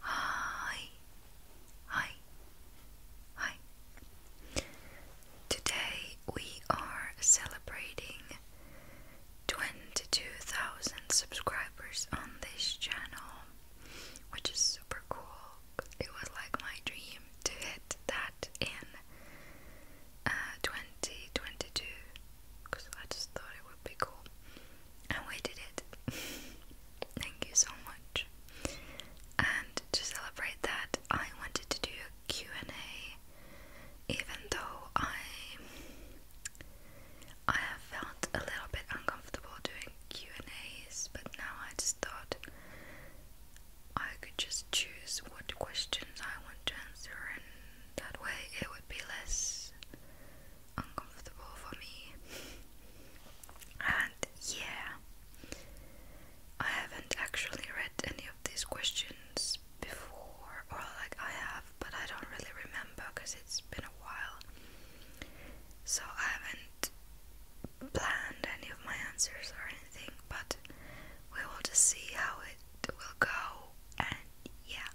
Hi, hi, hi. Today we are celebrating 22,000 subscribers on this channel, which is super cool. It was like my dream to hit that in uh, 2022 because I just thought it would be cool. And we did it. Thank you so much. And to celebrate that, I wanted to do a Q&A even though I I have felt a little bit uncomfortable doing Q&As, but now I just thought I could just choose what questions I want to answer, and that way it would be less uncomfortable for me. And yeah, I haven't actually read any of these questions before, or like I have, but I don't really remember because it's been a while. So I haven't planned any of my answers or anything but we will just see how it will go. And yeah,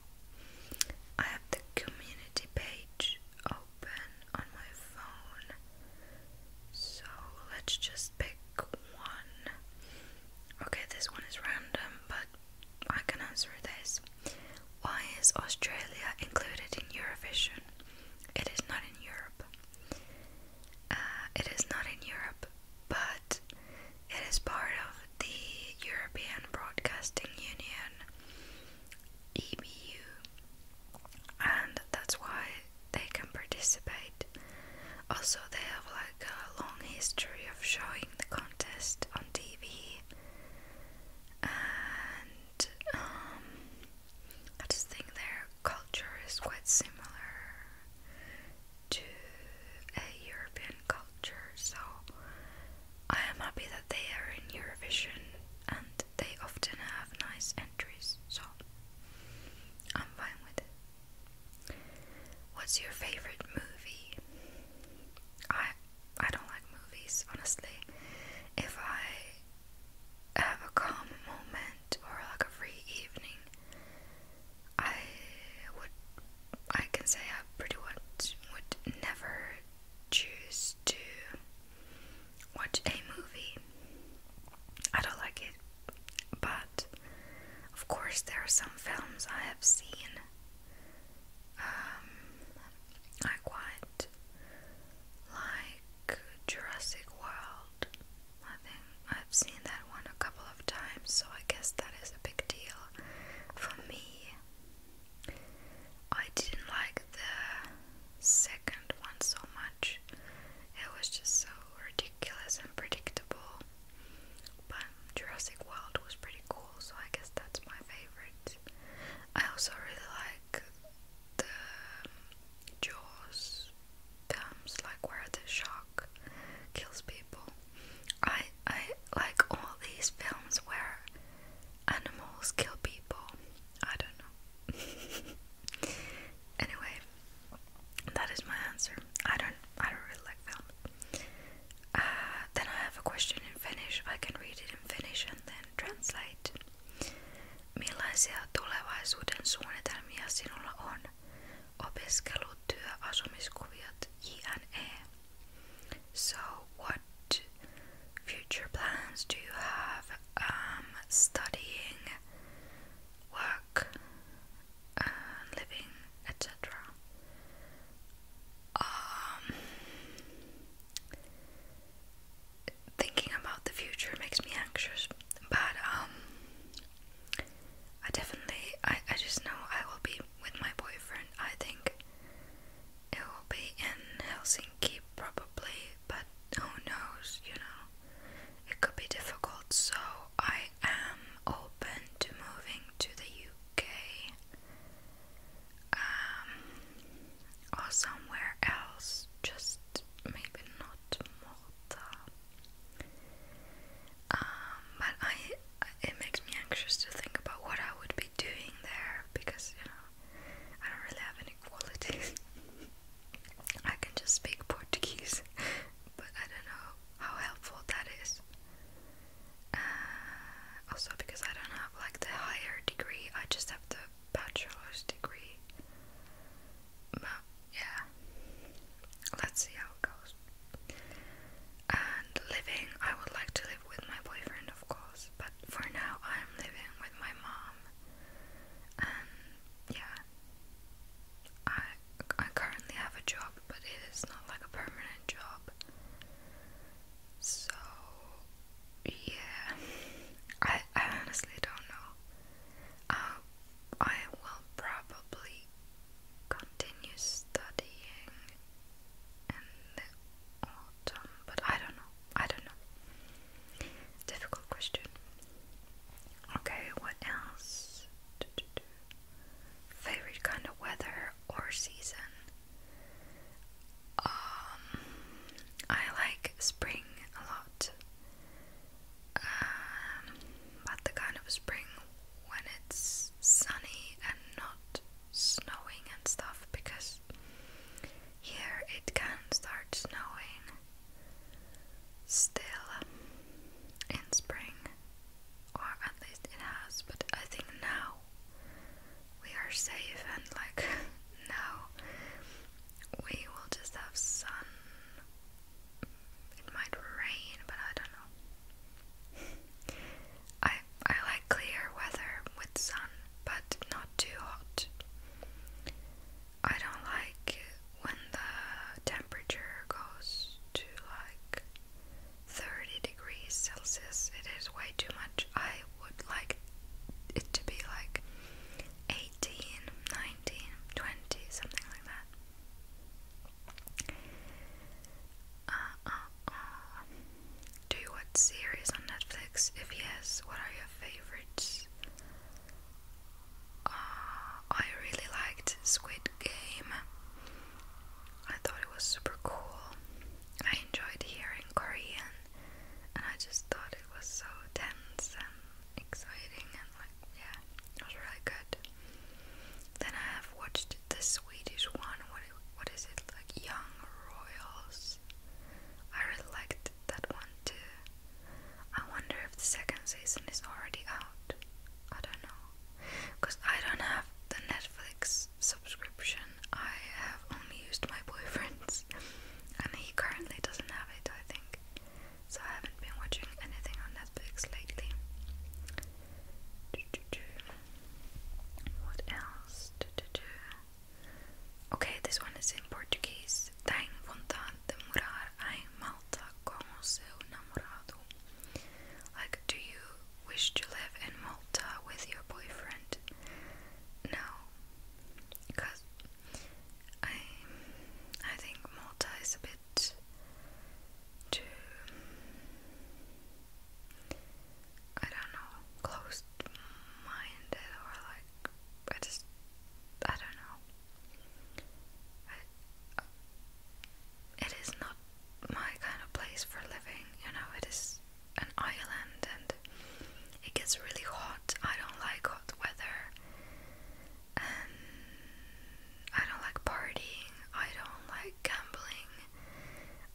I have the community page open on my phone, so let's just pick one. Okay, this one is random, but I can answer this. Why is Australia included in Eurovision? It is not in Europe. Uh, it is not in Europe, but it is part of the European Broadcasting Union, EBU, and that's why they can participate. Also, they have like a long history of showing the contest on TV, and um, I just think their culture is quite similar to a European culture. So I am happy that they are in Eurovision and they often have nice entries. So I'm fine with it. What's your favorite movie? I I don't like movies, honestly. If I have a calm moment or like a free evening, I would I can say I pretty much would never choose to watch a movie. I don't like it, but of course there are some films I have seen. Um, I quite like Jurassic World. I I've seen that one a couple of times, so I guess that is a big deal for me. I didn't like the second one so much, it was just so ridiculous and predictable. But Jurassic World was pretty cool, so I guess that's my favorite. I also really like the um, Jaws films, like where the shark kills people. I I like all these films where animals kill people. I don't know. anyway, that is my answer. I don't I don't really like films. Uh, then I have a question in Finnish. I can read it in Finnish and then translate. Millaisia tulevaisuuden suunnitelmia sinulla on? opiskelu, työ, asumiskuviot, jne. So what future plans do you have? Um, studying, work, uh, living, etc. Um, thinking about the future makes me anxious, but um, I definitely, I, I just know I will be with my boyfriend. I think it will be in Helsinki probably, but who knows, you know, it could be difficult. So I am open to moving to the UK um, or somewhere else, just maybe not out um, but I, it makes me anxious to think about what I would be doing there because you know I don't really have any qualities. I can just speak Portuguese, but I don't know how helpful that is. Uh, also, because I don't have like the higher degree, I just have the bachelor's degree but yeah, let's see how it goes. And living, I would like to live with my boyfriend, of course, but for now I'm living with my mom. And yeah, I I currently have a job, but it is not like a permanent job. So yeah, I I honestly don't know. Uh, I will probably continue studying in the autumn, but I don't know. I don't know. Difficult question. Okay, what else? Favorite kind of weather or season? Um, I like spring a lot but um, the kind of spring when it's sunny and not snowing and stuff because here it can start snowing still in spring or at least it has but I think now we are safe and like now we will just have sun it might rain, but I don't know. I I like clear weather with sun, but not too hot. I don't like when the temperature goes to like 30 degrees Celsius. It is way too much. I would like it to be like 18, 19, 20, something like that. Do you watch series on Netflix? If yes, what are your favorites? Uh, I really liked Squid Game. I thought it was super cool. I enjoyed hearing Korean, and I just thought it was so tense and exciting and like yeah, it was really good. Then I have watched the Swedish one. What what is it like? Young Royals. I really liked that one too. I wonder if the second season is already out. I don't know, cause I don't have the Netflix subscription. I have only used my boyfriend's, and he currently doesn't have it. I think. So I haven't been watching anything on Netflix lately. What else? Okay, this one is in Portuguese. Tem vontade de morar em Malta como seu namorado. Like, do you wish to live in Malta with your boyfriend? No. Because I I think Malta is a bit too I don't know closed minded or like I just I don't know it is not my kind of place for living you know it is an island and it gets really hot I don't like hot weather um, I don't like partying, I don't like gambling,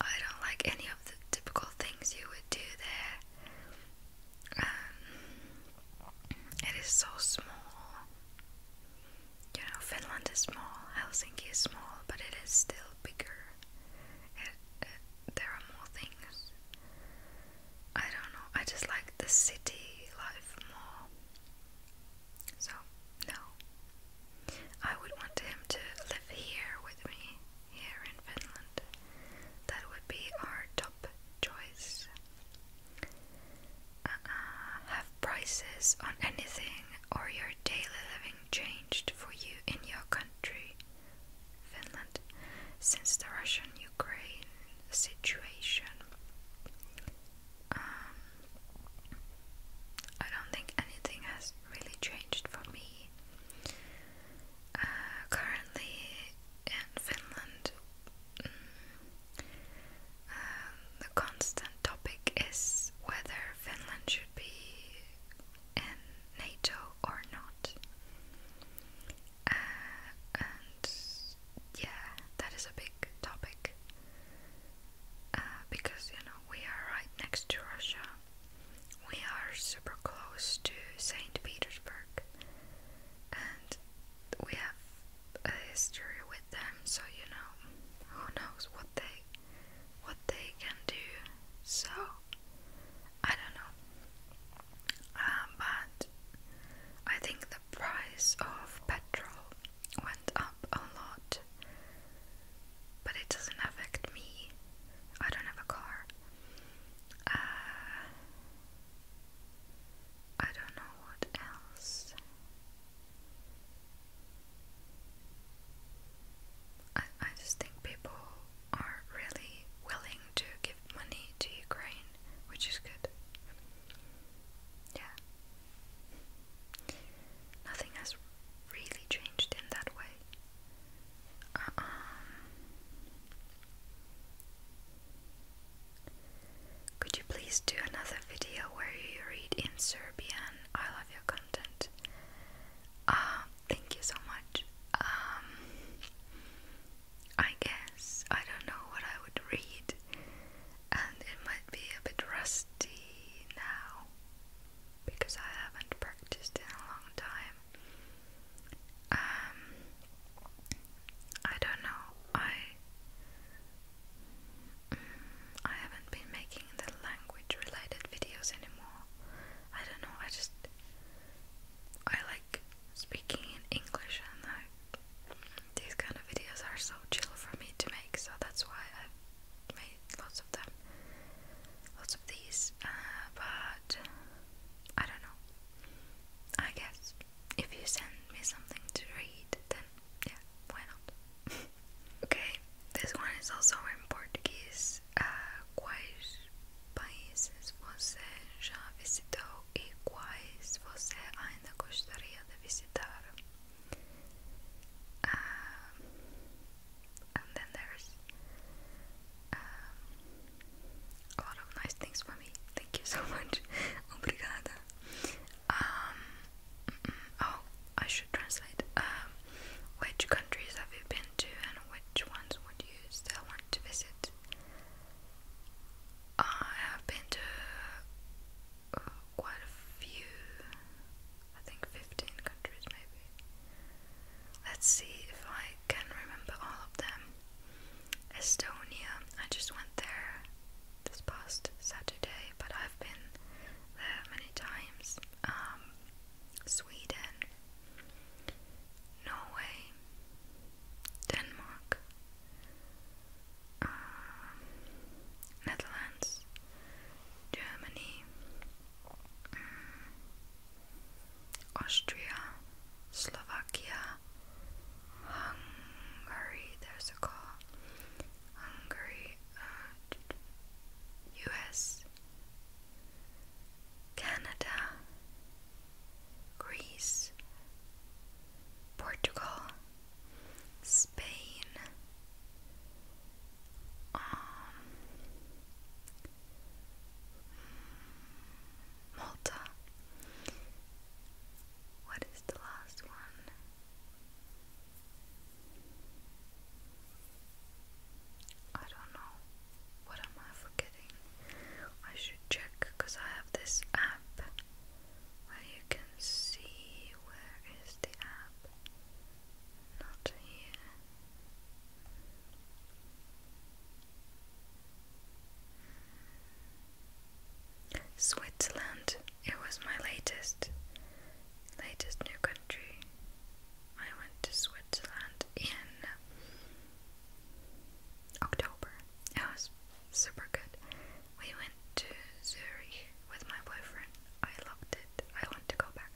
I don't like any of the typical things you would do there. Um, it is so small. You know, Finland is small, Helsinki is small, but it is still bigger. there are more things. I don't know, I just like the city life more. So, no. I would want him to live here with me, here in Finland. That would be our top choice. Uh, have prices on anything or your daily living changed for you in your country, Finland, since the Russian Ukraine situation. Um, I don't think anything has really changed for me. Uh, currently in Finland, mm, um, the constant topic is whether Finland should be in NATO or not. Uh, and yeah, that is a big topic uh, because you know we are right next to Russia, we are super close to Saint Petersburg, and we have a history with them, so you know who knows what they what they can do. So I don't know, uh, but I think price of petrol went up a lot, but it doesn't affect me. I don't have a car. Uh, I don't know what else. I, I just think people are really willing to give money to Ukraine, which is good. Yeah. Nothing has really changed in that way. Could you please do another video where you read in Serbian? I love your content. Uh, thank you so much. Um, I guess I don't know what I would read, and it might be a bit rusty now because I haven't practiced in a long time. Um, I don't know. I mm, I haven't been making the language-related videos anymore. I don't know. I just I like speaking in English, and these kind of videos are so chill for me to make, so that's why I've made lots of them, lots of these. Uh, but I don't know. I guess if you send me something to read, then yeah, why not? okay, this one is also in Portuguese. Uh, quais países você já visitou e quais você ainda gostaria de visitar. Um, and then there's um, a lot of nice things for me. Thank you so much. Obrigada. Um, oh, I should translate. Um, which countries have you been to, and which ones would you still want to visit? I have been to uh, quite a few, I think 15 countries maybe. Let's see if I can remember all of them. Estonia, I just went there this past Saturday, but I've been there many times. Um, Sweden, Norway, Denmark, uh, Netherlands, Germany, mm, Austria, Slovakia, Hungary, there's a car, Hungary, US, uh, Canada, Greece, Portugal, Spain, um, Malta. What is the last one? I don't know. What am I forgetting? I should check because I have this app where you can see where is the app. Not here. Switzerland. It was my latest latest new country. I went to Switzerland in October. It was super good. We went to Zurich with my boyfriend. I loved it. I want to go back.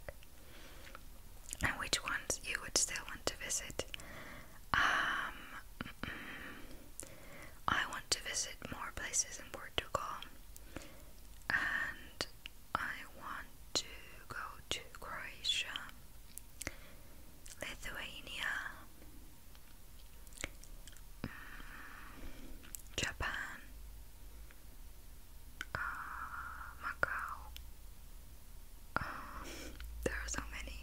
And which ones you would still want to visit? Um, I want to visit more places in Portugal, and I want to go to Croatia, Lithuania, Mm, Japan, uh, Macau. Uh, there are so many.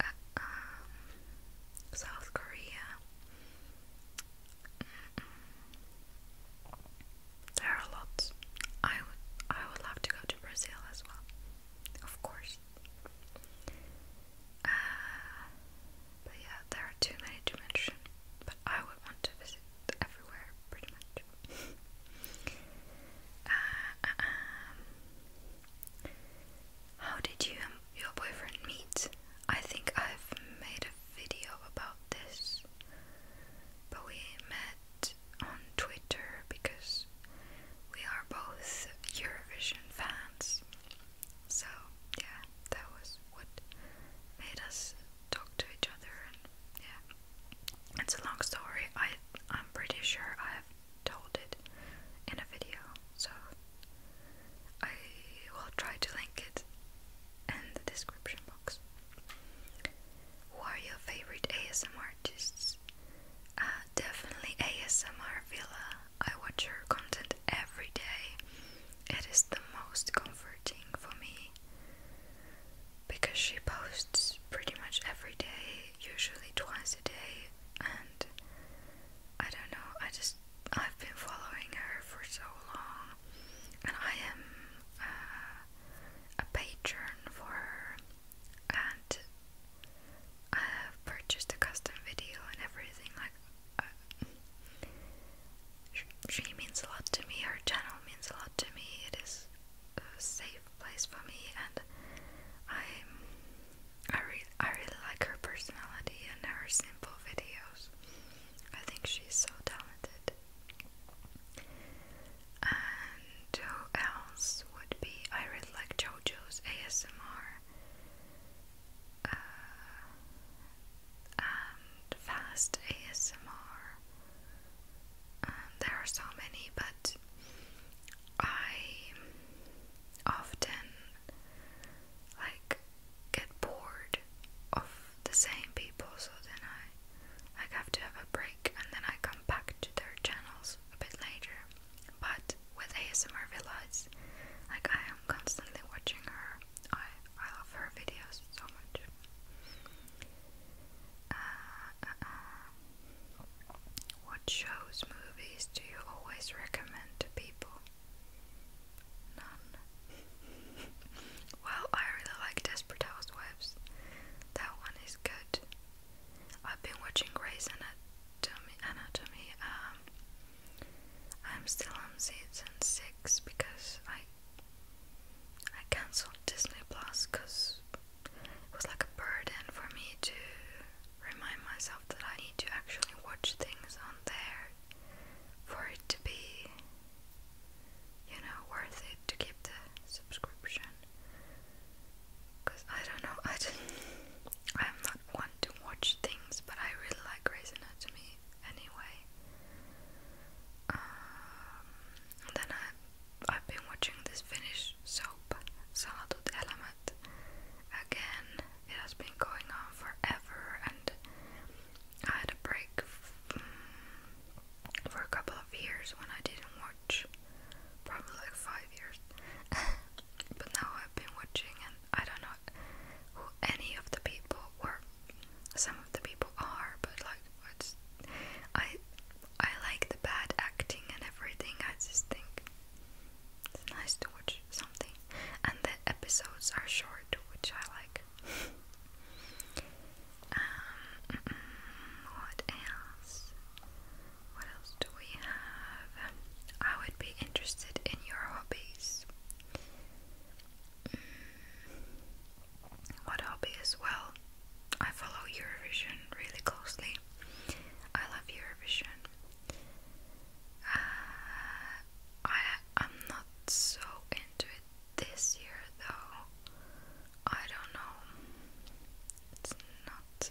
Uh, um, South Korea. There are lots. I would I would love to go to Brazil as well, of course. Uh, but yeah, there are too many to mention. But I would want to visit everywhere, pretty much. Uh, uh, um, how did you and your boyfriend meet? I think I've made a video about this, but we met on Twitter because we are both Eurovision fans. So, yeah, that was what made us talk to each other yeah. It's a long story. I I'm pretty sure I have told it in a video. So, I will try to link it in the description box. Who are your favorite ASM artists? Uh, definitely ASMR Villa. I watch her content every day. It is the most comforting for me because she posts pretty much every day, usually twice a day, and I don't know, I just I've been following her for so long, and I am uh, a patron for her and I have purchased a custom video and everything. Like, uh, she, means a lot to me. Her channel means a lot to me. It is a safe place for me, and I, I really, I really like her personality and her simple videos. I think she's so talented. And who else would be? I really like JoJo's ASMR. Uh, fast ASMR. Um, there are so many, but I often like get bored of the same people, so then I like have to have a break, and then I come back to their channels a bit later. But with ASMR Villas, like I am constantly watching her. I I love her videos so much. Uh, uh, uh. What shows, movies do you always recommend to people? None. well, I really like Desperate Housewives. That one is good. I've been watching Grey's Anatomy. Anatomy. Um, I'm still on season six because I I cancelled Disney Plus because it was like a burden for me to remind myself that I need to actually watch things on there for it to be, you know, worth it to keep the subscription. Cause I don't know, I didn't. am not one to watch things, but I really like Grey's Anatomy anyway. Um, and then I, I've been watching this Finnish soap, Salatut Element. Again, it has been going on forever, and I had a break mm, for a couple of years when I didn't probably like five years. but now I've been watching, and I don't know who any of the people or some of the people are, but like I I like the bad acting and everything. I just think it's nice to watch something, and the episodes are short, which I like. um, what else? What else do we have? I would be interested in your hobbies. Mm, what hobby as well? I follow Eurovision really closely. I love Eurovision. Uh, I I'm not so into it this year though. I don't know. It's not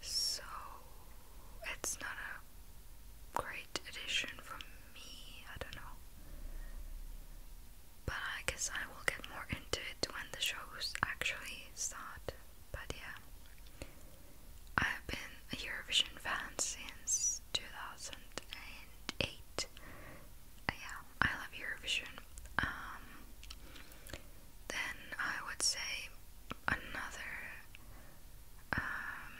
so it's not a great addition for me, I don't know. But I guess I will get more into it when the shows actually start. But yeah, I've been a Eurovision fan since 2008. Uh, yeah, I love Eurovision. Um, then I would say another um,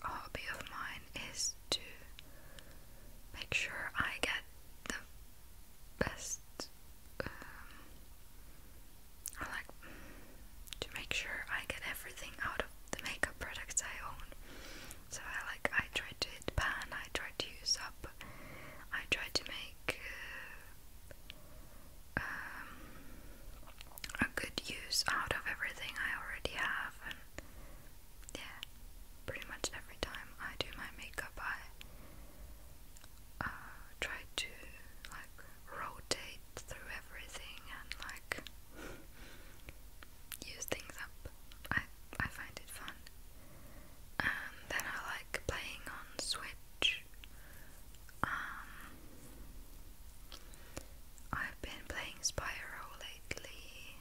hobby of mine is to make sure I get the best, um, I like to make sure I get everything out of the makeup products I own. So I like I try to pan, I try to use up, I try to make uh, um, a good use out of everything I already have. And yeah, pretty much every time I do my makeup, I uh, try to like rotate through everything and like use things up. I I find it fun. And then I like playing on Switch. Um, I've been playing Spyro lately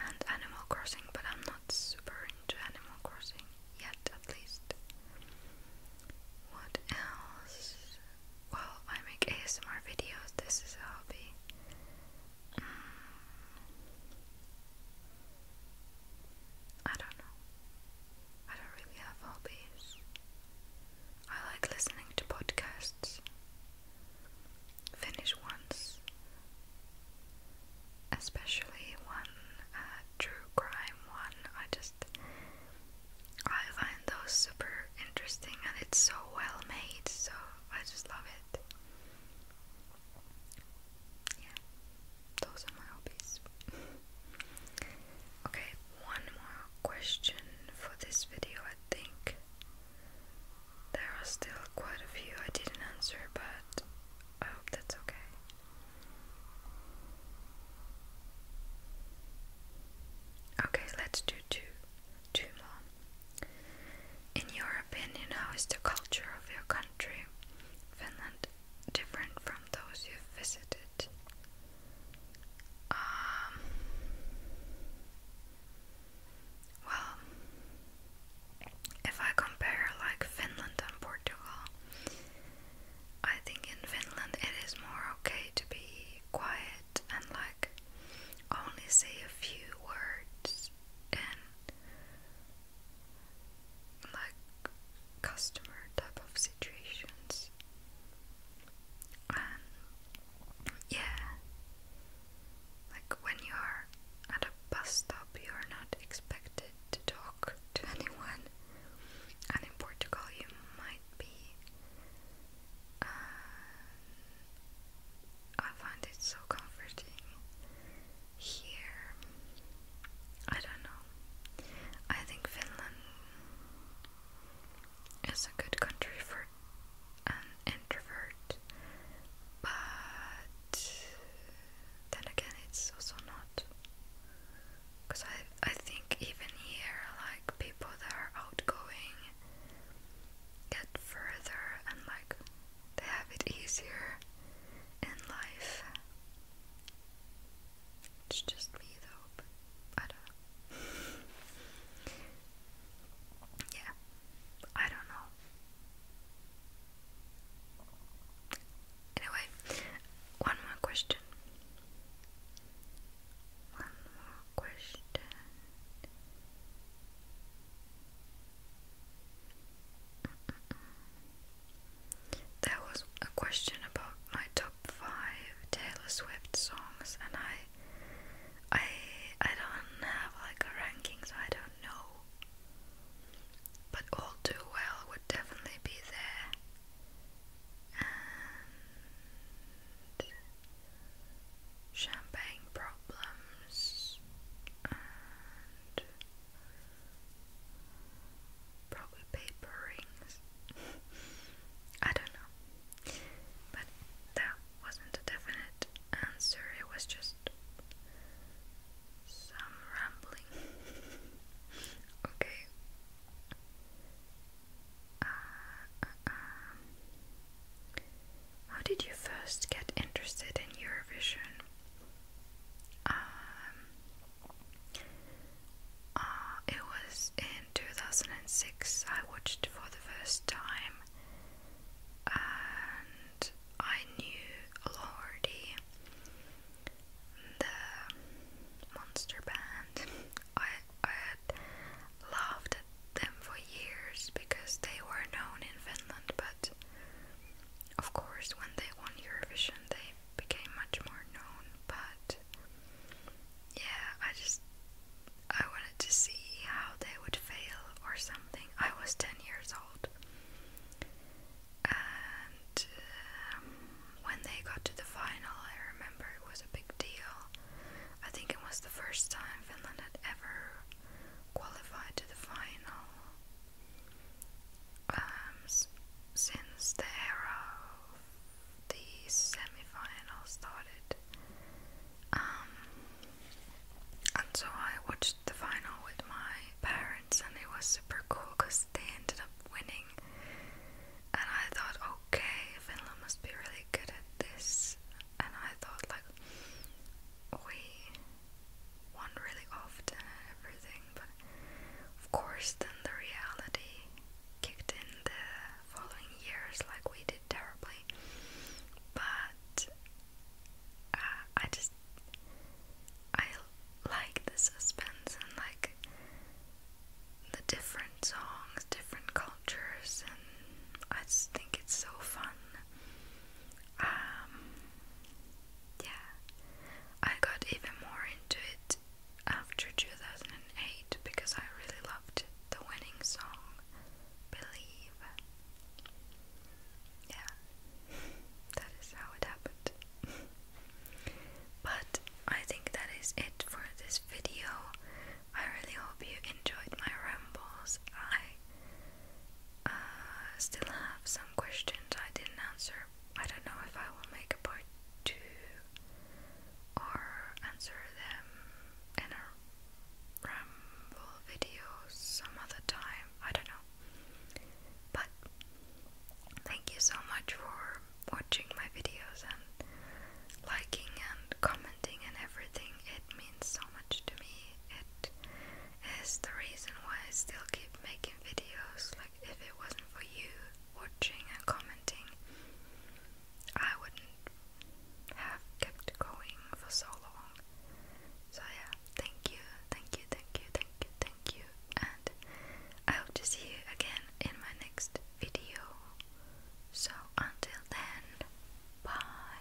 and Animal Crossing, but I'm not super into Animal Crossing yet, at least. What else? Well, I make ASMR videos, this is a hobby. Mm. I don't know. I don't really have hobbies. I like listening to podcasts. Finnish ones, especially one uh, true crime one. I just I find those super interesting, and it's so well made. So I just love it. Yeah those are my hobbies. okay, one more question for this video, I think. There are still quite a few I didn't answer, but I hope that's okay. Okay, let's do two, two more. In your opinion, how is the culture of your country, Finland, different from those you've visited? Um, well, if I compare like Finland and Portugal, I think in Finland it is more okay to be quiet and like only say a few words like customer type of situations. And yeah, like when you're at a bus stop, you're not expected to talk to anyone, and in Portugal, you might be. Uh, I find it so comforting here. I don't know. I think Finland is a good country for an introvert, but then again, it's also not. Because I, I think even here, like people that are outgoing get further and like they have it easier in life. It's just me though, I don't know. yeah, I don't know. Anyway, one more question. One more question. There was a question about my top five Taylor Swift songs, and I, I, I don't have like a ranking, so I don't know. But all do well would definitely be there, and champagne problems, Probably paper rings. I don't know. But that wasn't a definite answer, it was just some rambling. okay. Uh, uh, um. How did you first get interested in Eurovision? Um, uh, it was in 2006 I watched for the first time, and I knew already the monster band. I, I had loved them for years because they were known in Finland, but of course, when they won Eurovision, they became much more known, but yeah, I just I wanted to see how they would fail or something. I was 10 years old. And um, when they got to the final, I remember it was a big deal. I think it was the first time Finland had ever qualified to the final. Um, since the era of the semi-final started. Um, and so I watched the final with my parents, and it was super cool because they ended up winning. And I thought, okay, Finland must be really good at this. And I thought, like, we one really often everything, but of course, then the reality kicked in the following years, like we did terribly. But uh, I just I like the suspense and like the different songs, different cultures, and I think it's so fun. Um, yeah, I got even more into it after 2008 because I really loved the winning song, Believe. Yeah, that is how it happened. but I think that is it for this video. I really hope you enjoyed my rambles. I uh, still have some questions I didn't answer, I don't know if I will make a part two or answer them in a ramble video some other time. I don't know. But thank you so much for watching my videos and liking and commenting and everything. It means so much to me. It is the reason why I still keep making videos if it wasn't for you watching and commenting, I wouldn't have kept going for so long. So yeah, thank you, thank you, thank you, thank you, thank you, and I hope to see you again in my next video. So until then, bye.